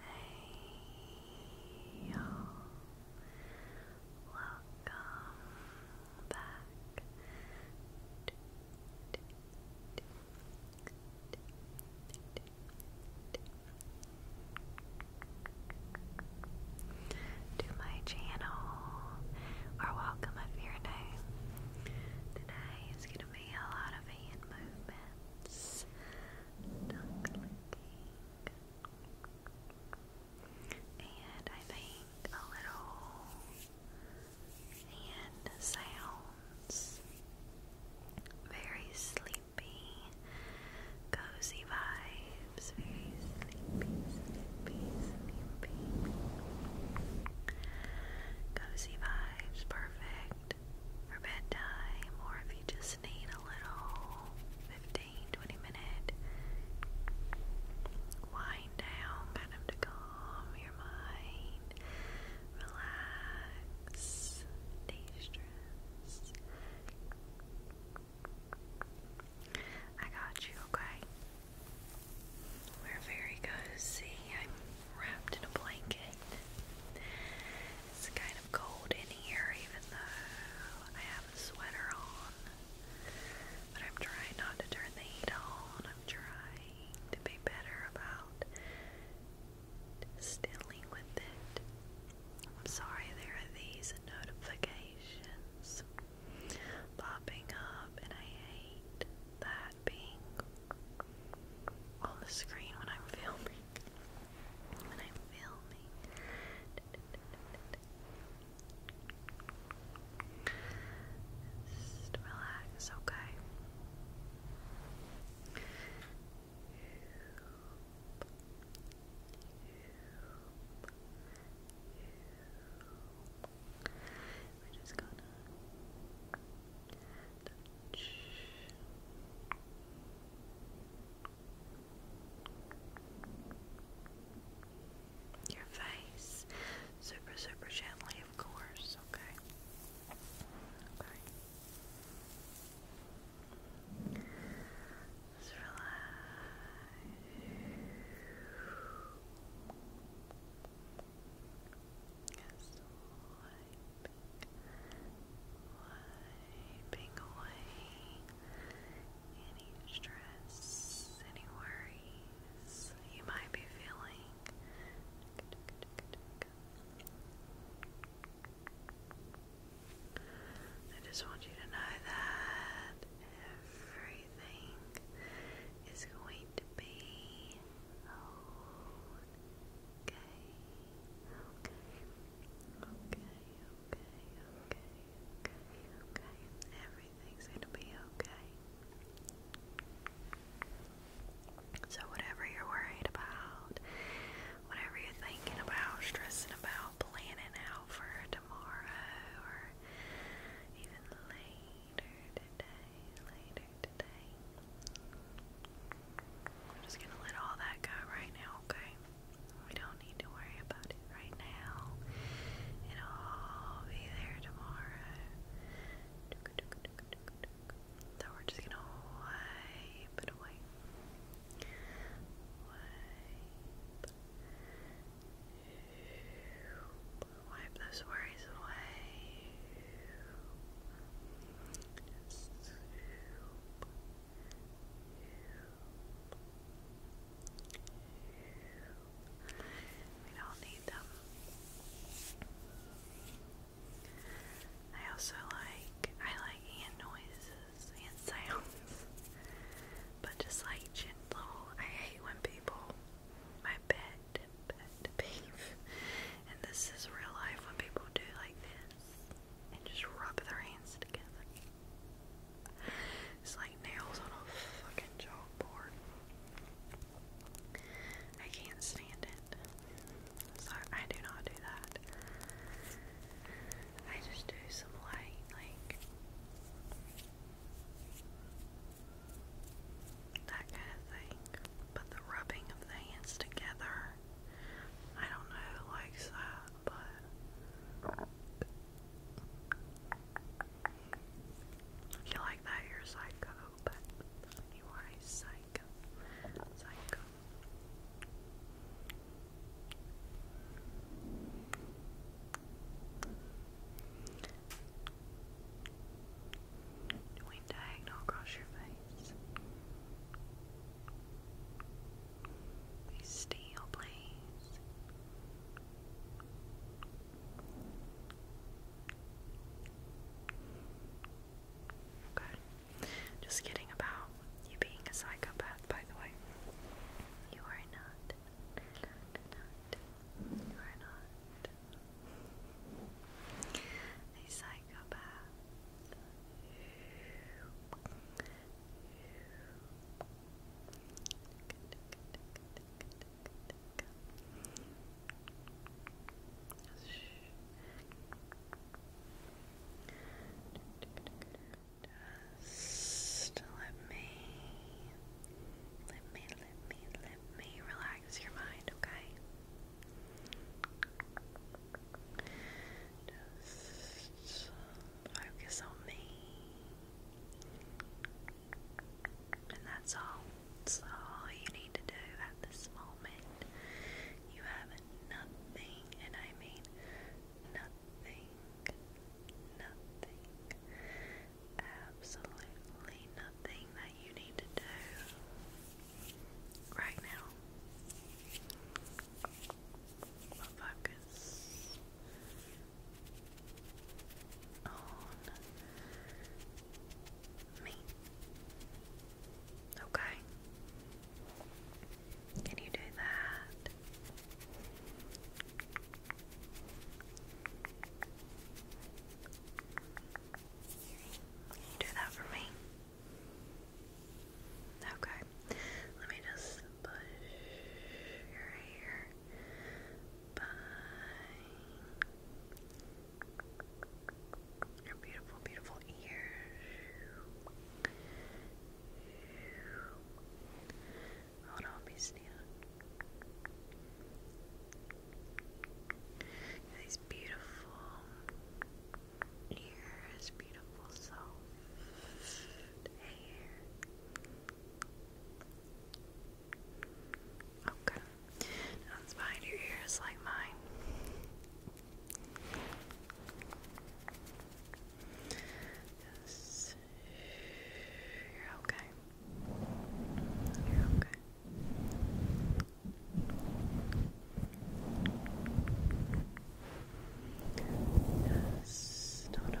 Hey, you Welcome back to my channel, or welcome if you're new today is going to be a lot of hand movements. And I think a little hand sounds. Very sleepy, cozy vibes. Very sleepy, sleepy, sleepy. Cozy vibes, perfect for bedtime, or if you just need a little 15 minute wind down, kind to calm your mind, relax, de stress. I got you, okay? We're very cozy. I'm wrapped in a blanket. It's kind of cold in here, even though I have a sweater on. But I'm trying not to turn the heat on. I'm trying to be better about dealing with it. I'm sorry there are these notifications popping up, and I hate that being on the screen when I'm filming. When I'm filming. relax, okay? Your face, super, super gently, of course. Okay. Okay. Just relax wiping away any stress, any worries you might be feeling. I just want you to know that every everything is going to be okay. Okay. Okay, okay, okay, okay, okay. Everything's gonna be okay. So, whatever you're worried about, whatever you're thinking about, stressing about, planning out for tomorrow, or you later today, later today. I'm just gonna let all that go right now, okay? We don't need to worry about it right now. It'll be there tomorrow. So we're just gonna wipe it away. Wipe those worries away. We don't need them. I also like I like hand noises, hand sounds. But just like gentle, I hate when people, my pet, pet peeve, and this is real life when people do like this and just rub their hands together. It's like nails on a fucking chalkboard. I can't stand it. So I do not do that. I just do some light, like that kind of thing. But the rubbing of the hands together, I don't know who likes that, but you like that, you're psycho, but you are a psycho. Psycho diagonal across your face. Be still, please. Okay. Just kidding about you being a psychopath, by the way. You are not. You're not. You A psychopath. Just let me, let me, let me, let me relax your mind, okay? Just focus on me. And that's all. That's all you need to do at this moment. You have nothing, and I mean nothing, nothing, absolutely nothing that you need to do right now. focus on me. Okay. Can you do that? Can you do that for me? Okay. Let me just push your hair. Bye. Your beautiful, beautiful ears. Oh, don't be sneezing. These beautiful ears, beautiful soft hair. Okay, now behind your ears like mine. Yes. You're okay. You're okay. Yes, no, no.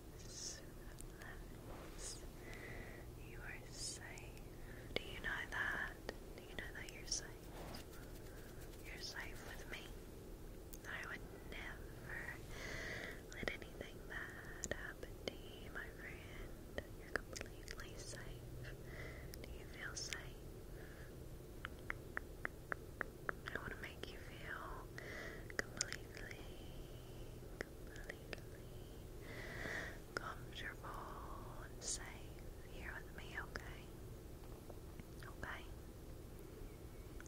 You are safe. Do you know that? Do you know that you're safe? You're safe with me. I would never let anything bad happen to you, my friend. You're completely safe. Do you feel safe? I want to make you feel completely, completely comfortable and safe here with me, okay? Okay?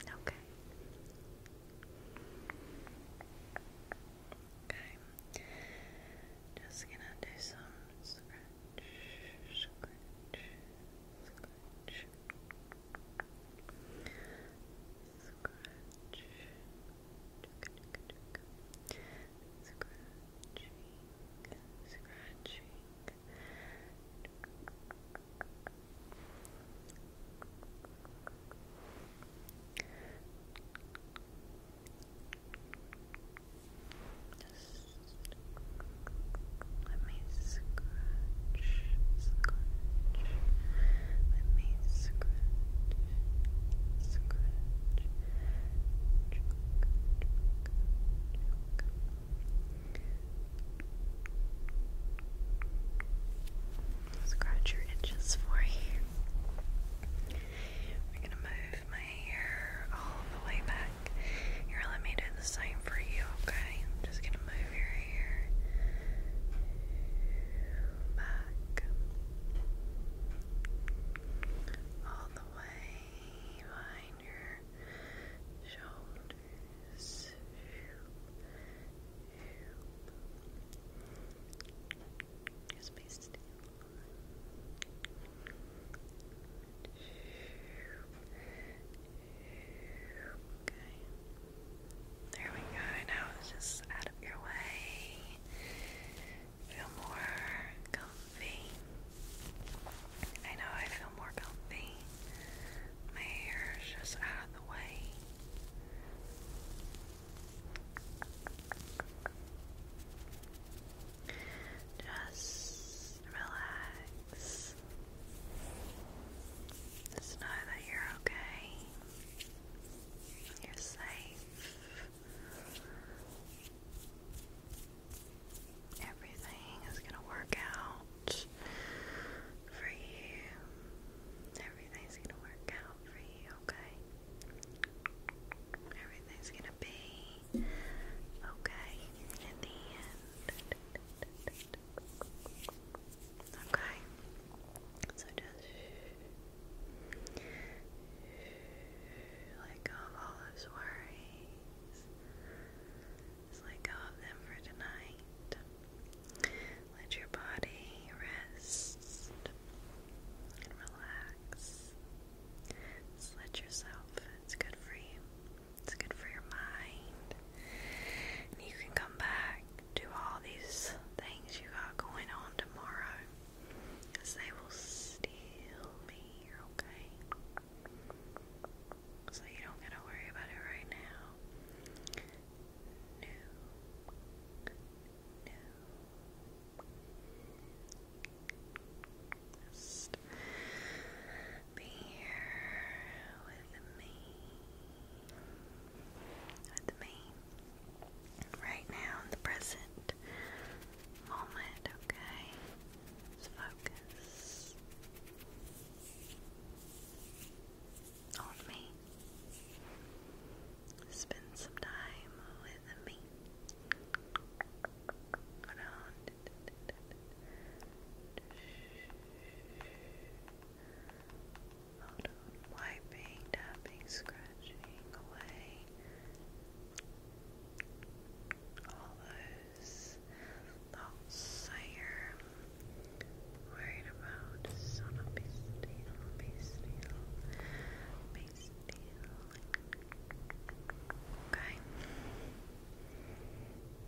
Okay. Okay. Just gonna do some scratch, scratch, scratch. Scratch. Scratch. Scratch. Scratch. Just let me scratch, scratch. Let me scratch, scratch. Scratch your itches for you. We're gonna move my hair all the way back. Here, let me do the same for you, okay? I'm just gonna move move your back all the way behind your shoulders. Just be still. Okay. There we go. Now it's just out of your way. Feel more comfy. I know I feel more comfy. My hair is just out of the way. Just just relax. Just know that you're okay. You're safe. Everything is gonna work out for you. Everything's gonna work out for you, okay? Everything's gonna be okay in the end. Okay. So just let go of all those worries. let go of them for tonight. Let your body rest and relax. let yourself. It's good for it's good for your mind. you can come back to all these things you got going on tomorrow. they will still be okay? So you don't gotta worry about it right now. No. No be here with me, with me, right now in the present moment, okay? focus on me. Spend some time with me. Hold wiping, tapping, scratching away all those thoughts that you're about. Okay.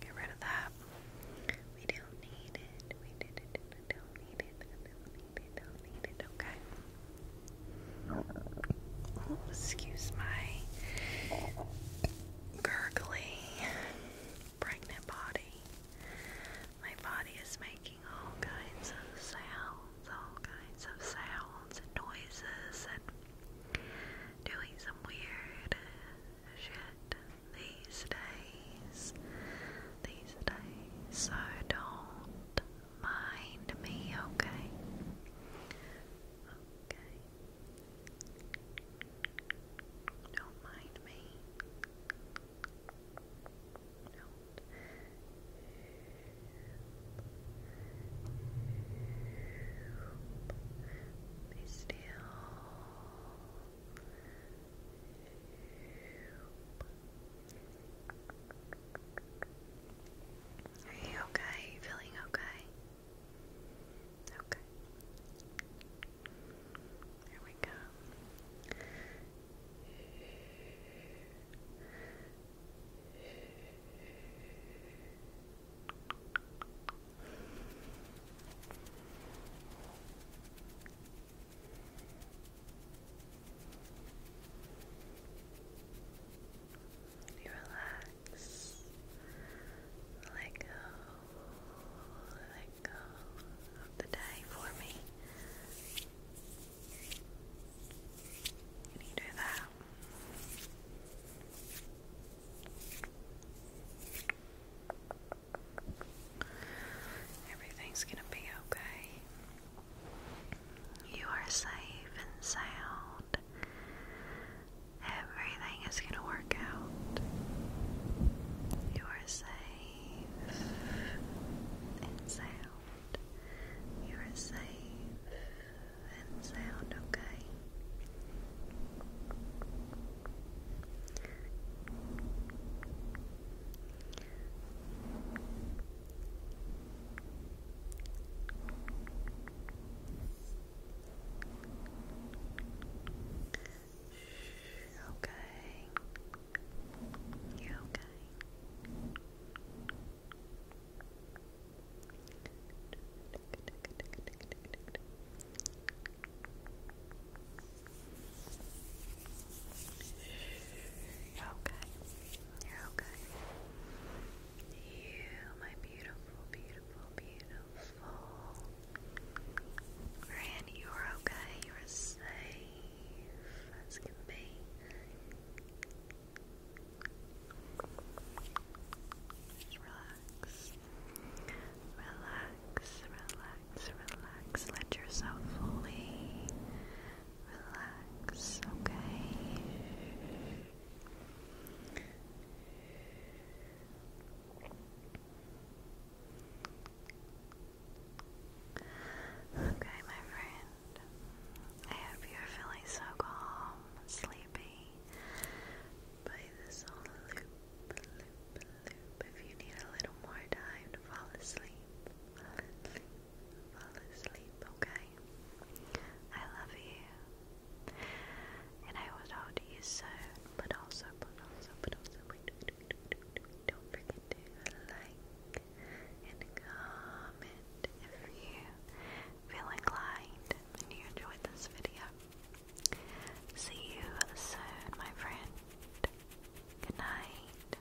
Get rid of that. We don't need it. We did it. I don't need it. I don't need it. Don't need it. Okay. excuse my gurgly pregnant body. My body is making all kinds of sounds, all kinds of sounds and noises and doing some weird shit these days. These days. So don't mind me, okay? Okay. Don't mind me do Are you okay? feeling okay? Okay. There we go. You relax, let go let go of the day for me. You need to do that. Everything's gonna be okay. You are safe and sound. Everything is gonna work out. You are safe and sound. You are safe and sound, okay? okay. You're okay. You're okay. you my beautiful, beautiful, beautiful beautiful. you are okay. You are safe as can be. Just relax. Relax, relax, relax. Let yourself fully relax, okay? Okay, my friend. I hope you're feeling so calm, sleepy by this whole loop, loop, loop. If you need a little more time to fall asleep, fall asleep, fall asleep, okay? I love you and I will talk to you soon. But also, but also, but also, wait, wait, don't forget to like and comment if you feel inclined and you enjoyed this video. See you soon, my friend. Good night.